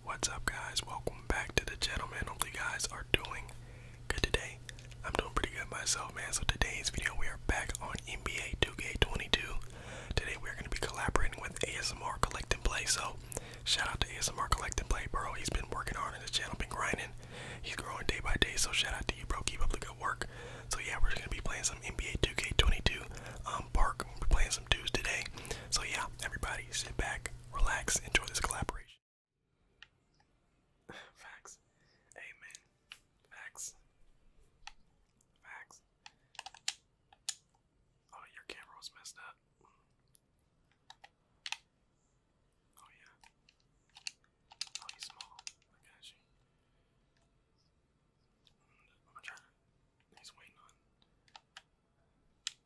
What's up, guys? Welcome back to the gentleman. only. guys are doing good today. I'm doing pretty good myself, man. So, today's video, we are back on NBA 2K22. Today, we're going to be collaborating with ASMR Collecting Play. So, shout out to ASMR Collecting Play, bro. He's been working hard on this channel, been grinding. He's growing day by day. So, shout out to you, bro. Keep up the good work. So, yeah, we're going to be playing some NBA 2K22 um, Park. We're playing some dudes today. So, yeah, everybody, sit back relax, enjoy this collaboration. Facts. Amen. Facts. Facts. Oh, your camera messed up. Oh, yeah. Oh, he's small. I got you. I'm trying. He's waiting on.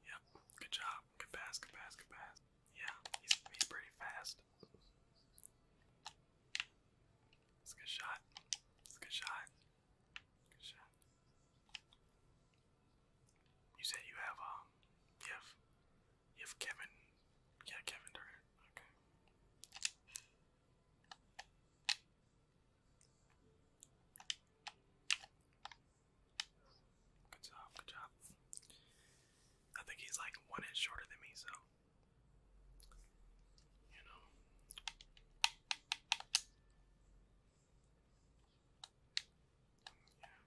Yep, good job. Good pass, good pass, good pass. Yeah, he's, he's pretty fast. It's a good shot. It's a good shot. Good shot. You said you have, um, you have, you have Kevin, yeah, Kevin Durant, okay. Good job, good job. I think he's like one inch shorter than me, so you know. Yeah.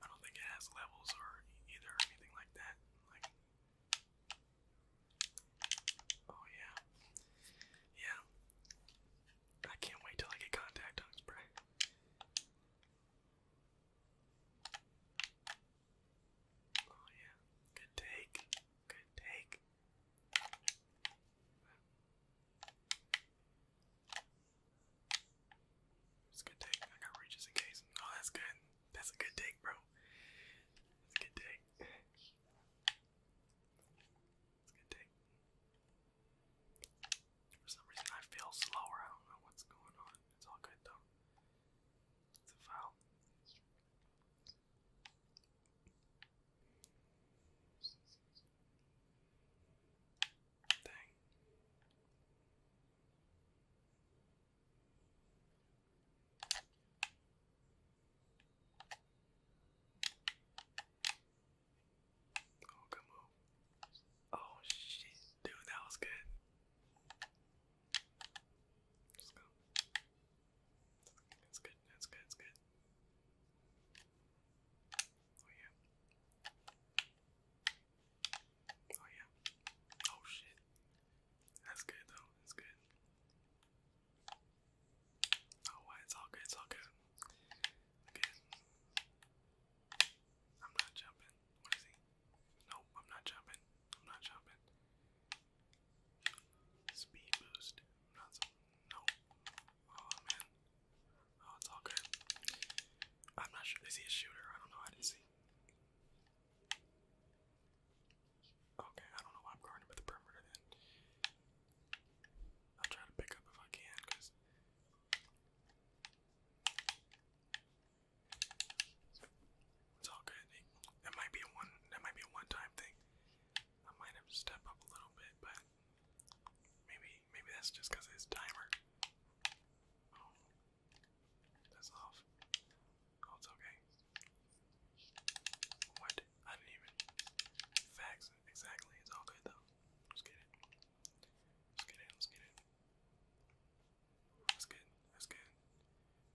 I don't think it has levels or either or anything like that. Like Oh yeah. Yeah. I can't wait till I get contact on spray. Oh yeah, good take, good take. It's a good take. I got reach just in case. Oh, that's good. That's a good take, bro. That's a good take. It's gonna For some reason, I feel slower. I don't know what's going on. It's all good though. It's a foul. Dang. Oh, good move. Oh shit, dude, that was good. That's good, that's good, that's good. Oh yeah. Oh yeah. Oh shit. That's good though, that's good. Oh it's all good, it's all good. Okay. I'm not jumping. What is he? No, I'm not jumping. I'm not jumping. Speed boost. I'm not so nope. Oh man. Oh, it's all good. I'm not sure. Is he a shooter? I don't know. I didn't see. Okay, I don't know why I'm guarding with the perimeter then. I'll try to pick up if I can, because it's all good. That might be a one. That might be a one-time thing. I might have to up a little bit, but maybe maybe that's just because it's dimmer. Oh, that's off. Oh, it's okay. What? I didn't even. Facts. Exactly. It's all good though. Let's get it. Let's get it. Let's get it. That's good. That's good.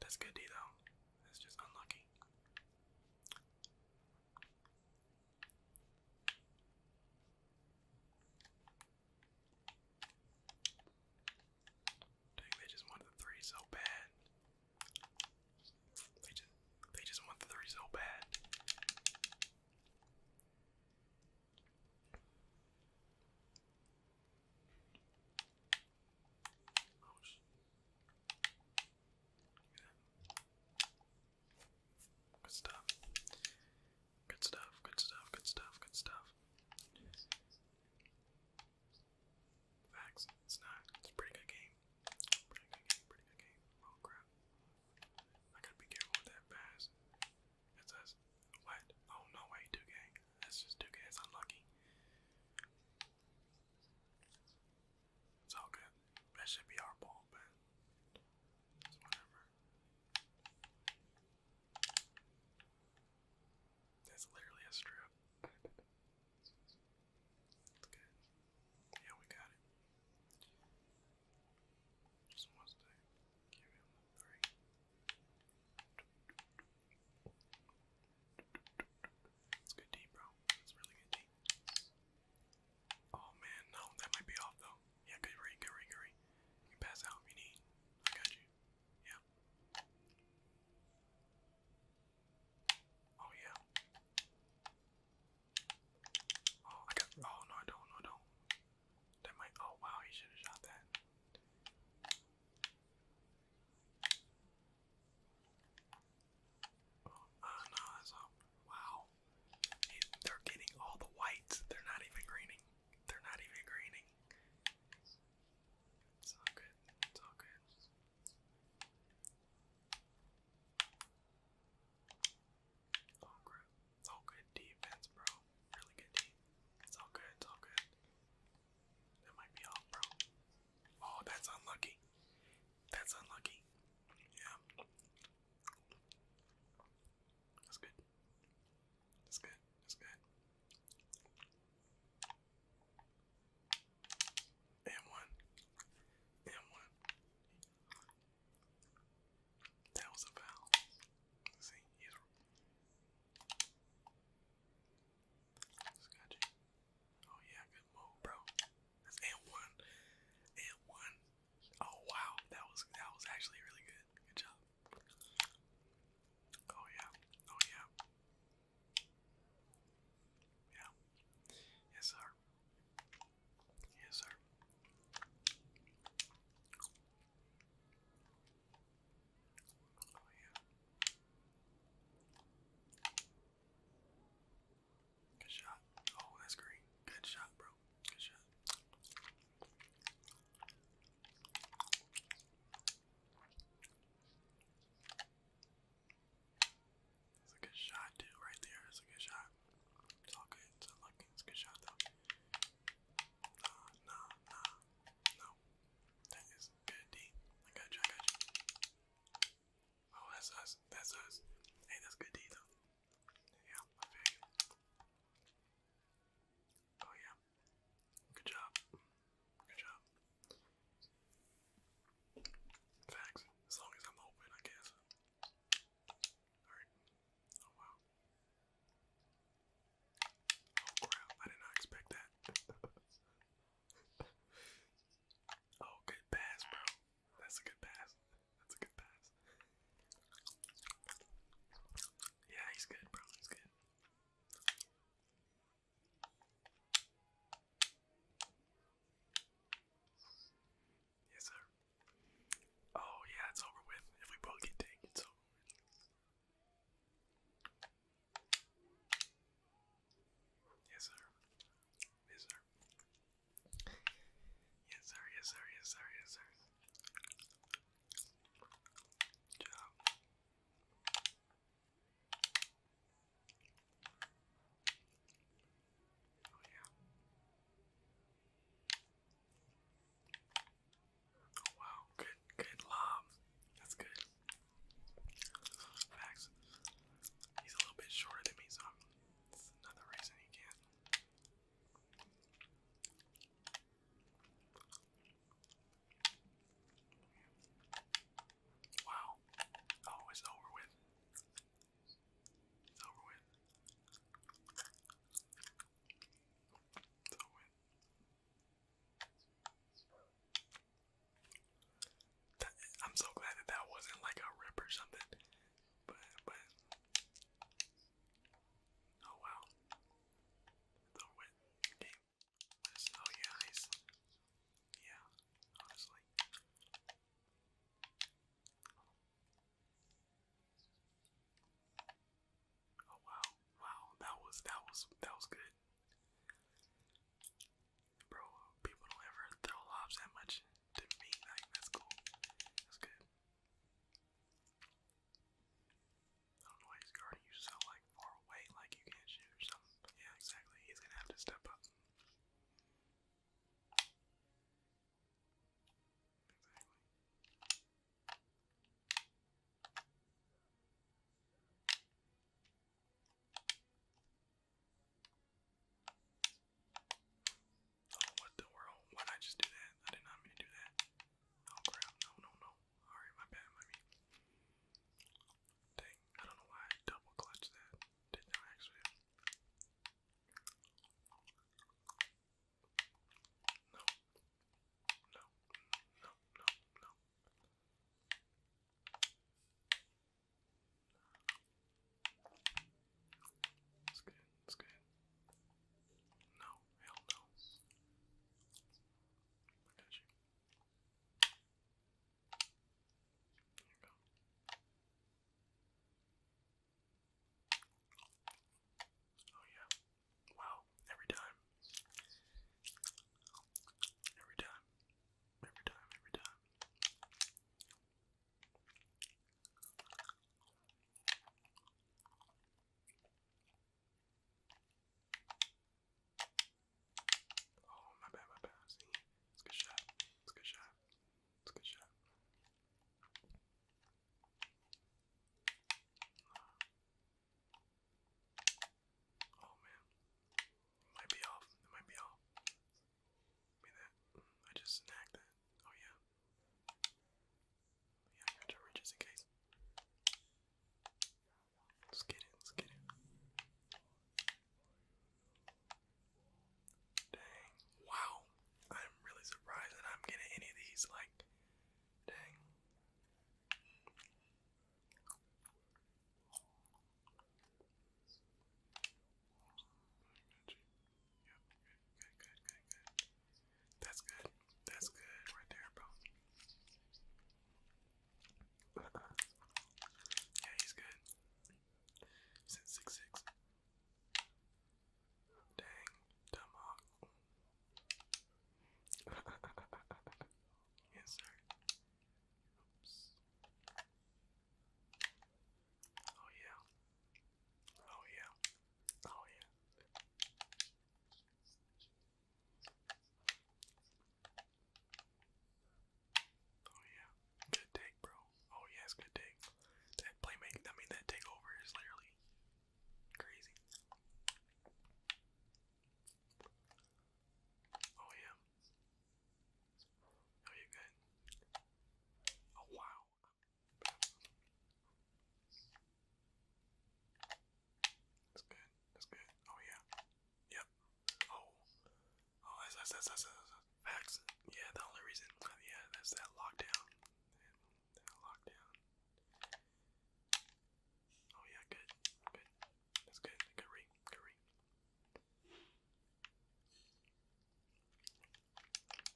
That's good D though. That's just unlucky. Dang, they just wanted the three so bad. They just they just want the three so bad. Good stuff. Good stuff, good stuff, good stuff, good stuff. Facts. It's not. It's pretty good game. Pretty good game, pretty good game. Oh crap. I gotta be careful with that pass. It says, what? Oh, no way, 2 That's just 2 It's unlucky. It's all good. That should be our ball, but whatever. That's literally a strip. It's good. Yeah, we got it. It's good D, bro. It's really good D. Oh man, no, that might be off though. Yeah, good read, good read, good read. You pass out you need. I got you. Yeah. Oh yeah. Oh, I got. Oh no, I don't. No, don't. That might. Oh wow, he should have shot that. Oh uh, no, that's all. Wow. they're getting all the whites. They're not even greening. They're not even greening. It's all good. It's all good. Oh crap. Oh good defense, bro. Really good deep. It's all good, it's all good. That might be off, bro. Oh, that's unlucky. That's unlucky. Yeah. That's good. That's good. That's good. And one. And one. That was a foul. See, Oh yeah, good move, bro. That's and one, and one. Oh wow, that was that was actually really good. Good job. Oh yeah, oh yeah, yeah. Yes sir. Yes, sir. Oh, yeah. Good shot. Oh, that's green. Good shot, bro. Good shot. That's a good shot, dude, right there. That's a good shot. It's all good. It's all like it's a good shot though. Nah, nah, nah. No. That is good D. I got you, I got you. Oh, that's us. That's us. Hey, that's good D though. Yeah, I feel Oh yeah. Good job. Good job. Facts. As long as I'm open, I guess. Alright, Oh wow. Oh crap, I did not expect that. oh, good pass, bro. That's a good pass. That's a good pass. Yeah, he's good, bro. He's good. Yes, sir. Oh, yeah, it's over with. If we both get taken, it's over with. Yes, sir. Yes, sir. Yes, sir. Yes, sir. Yes, sir. Yes, sir. Good job. Oh yeah. Oh wow, good, good lob. That's good. Facts. He's a little bit shorter than me, so i another reason he can't. Wow. Oh, it's over with. It's over with. I'm so glad that that wasn't like a rip or something. But, but. Oh wow. The win game. Oh yeah, Yeah, honestly. Oh wow, wow, that was that was that was good. Bro, people don't ever throw lobs that much to me. Like that's cool. That's good. I don't know why he's guarding you so like far away, like you can't shoot or something. Yeah, exactly. He's gonna have to step up. Exactly. Oh, what the world? Why'd I just do that? I did not mean to do that. Oh crap, no, no, no. Alright, my bad, my mean. Dang, I don't know why I double clutched that. Did not actually. No. No. No. No. No. That's good. That's good. No. Hell no. I got you. There you go. Oh yeah. Wow. Every time. Every time. Every time. Every time. Oh my bad, my bad. See, it's a good shot. It's a good shot. It's a good shot. Oh man, might be off. It might be off. I mean just snagged that. Oh yeah. Yeah, just in case. Let's get it. Let's get it. Dang! Wow, I'm really surprised that I'm getting any of these like Dang. Yep. That's good. That's good right there, bro. Yeah, he's good. six six. Dang, dumb yes, sir. Oops. Oh, yeah. Oh, yeah. Oh, yeah. Oh, yeah. Good take, bro. Oh, yeah, good take. That playmate, I mean, that takeover is literally Crazy. Oh yeah. Oh you good? Oh wow. That's good. That's good. Oh yeah. Yep. Oh. Oh that's that's that's that's, that's, that's. facts. Yeah, the only reason yeah, that's that lockdown. That lockdown. Oh yeah, good, good. That's good. Good read, good read.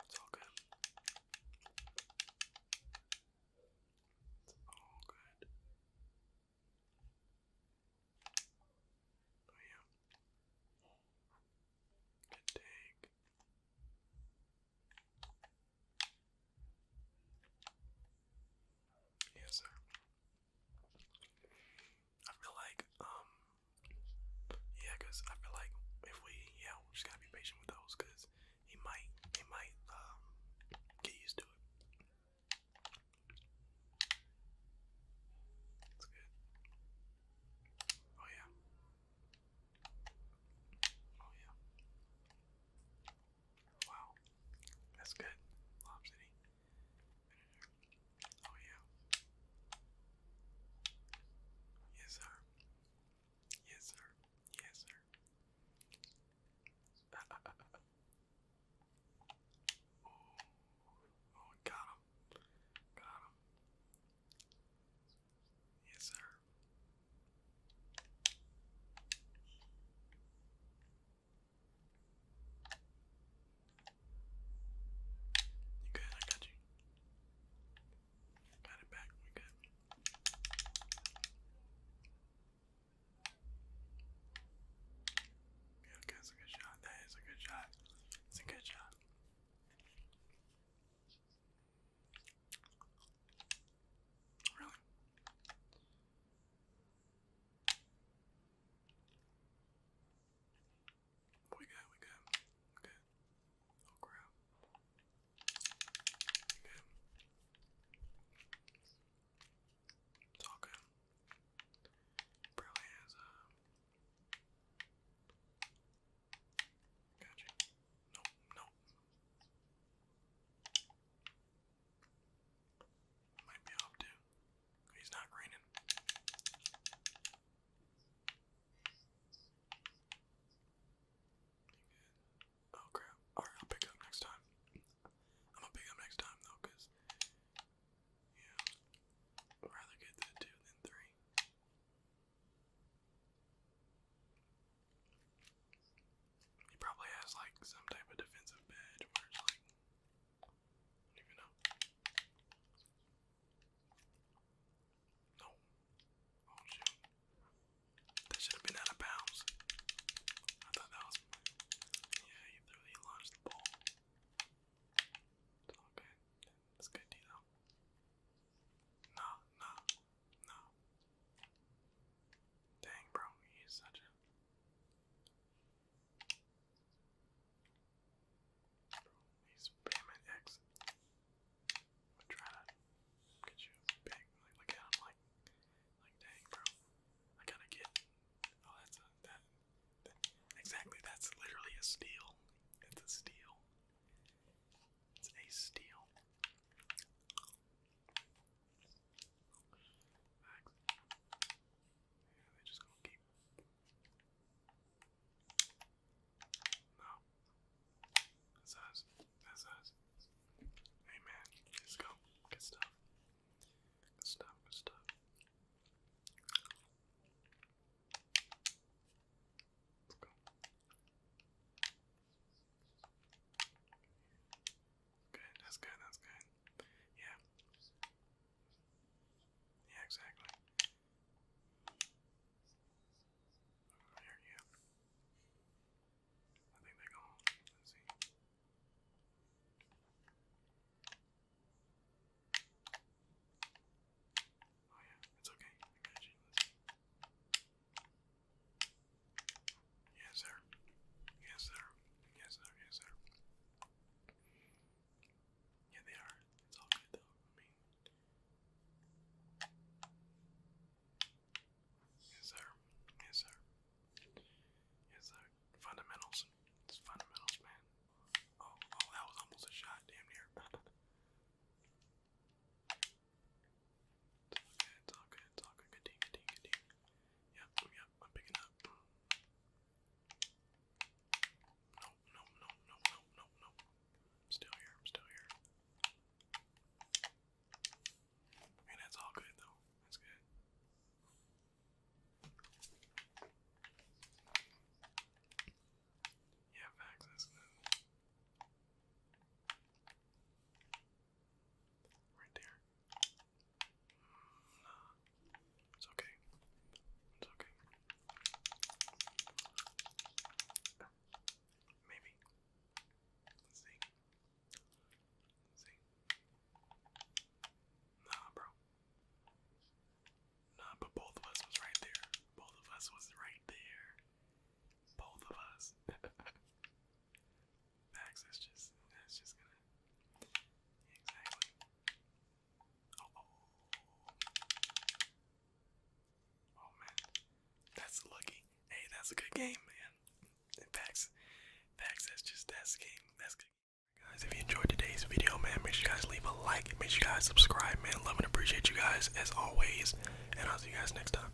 It's all good. It's all good. Oh yeah. Good take. Yes, sir. I feel like, um, yeah, cause I feel like if we, yeah, we just gotta be patient with those, cause he might, he might, um, get used to it. That's good. Oh yeah. Oh yeah. Wow. That's good. Lob City. Oh yeah. Yes sir. Yes sir. Yes sir. oh, oh, got him. Got him. Yes, sir. You good? I got you. Got it back. We good. Yeah, that's a good shot. That is a good shot. It's a good shot. Really? We good, we good. Okay. Oh crap. Okay. It's all good. Probably uh, Gotcha. Nope, nope, might be up to. He's not greening. Oh crap. Alright, I'll pick up next time. I'm gonna pick up next time though, because yeah. I'd rather get the two than three. He probably has like some type of defensive badge where it's like don't even know. No. Oh shoot. That should have been out of bounds. I thought that was Yeah, he literally launched the ball. It's good. That's good, Dino. Nah, no. Dang, bro, he's such a. he's payment X. I'm trying to get you big. look at him, like, like, dang, bro. I gotta get. Oh, that's that exactly, that's literally a steal. It's a steal. It's a steal. Yeah, they just gonna keep. No. That's us. That's us. Hey man, let's go. Good stuff. Good stuff, good stuff. Let's go. Good, that's good, that's good. Yeah. Yeah, exactly. There, oh, yeah. I think they go Let's see. Oh yeah, it's okay. Yes, sir. Yes, sir. Yes, sir. Yes, sir. Yeah, they are. It's all good, though. I mean, yes, sir. Yes, sir. Yes, sir. Fundamentals. It's fundamentals, man. Oh, oh, that was almost a shot, damn near. It's all good, it's all good, good ding, ding, good ding. Yep, yep, I'm picking up. No, no, no, no, no, no, no. I'm still here, I'm still here. And that's all good though. That's good. Yeah, facts, that's good. Right there. Nah. It's okay. It's okay. Maybe. Let's see. Let's see. Nah, bro. Nah, but both of us was right there. Both of us was right there. Both of us. Max, that's just that's just gonna exactly. Oh, oh. oh, man, that's lucky. Hey, that's a good game, man. And Pax, Pax, that's just that's game. That's good. Guys, if you enjoyed today's video, man, make sure you guys leave a like. Make sure you guys subscribe, man. Love and appreciate you guys as always. And I'll see you guys next time.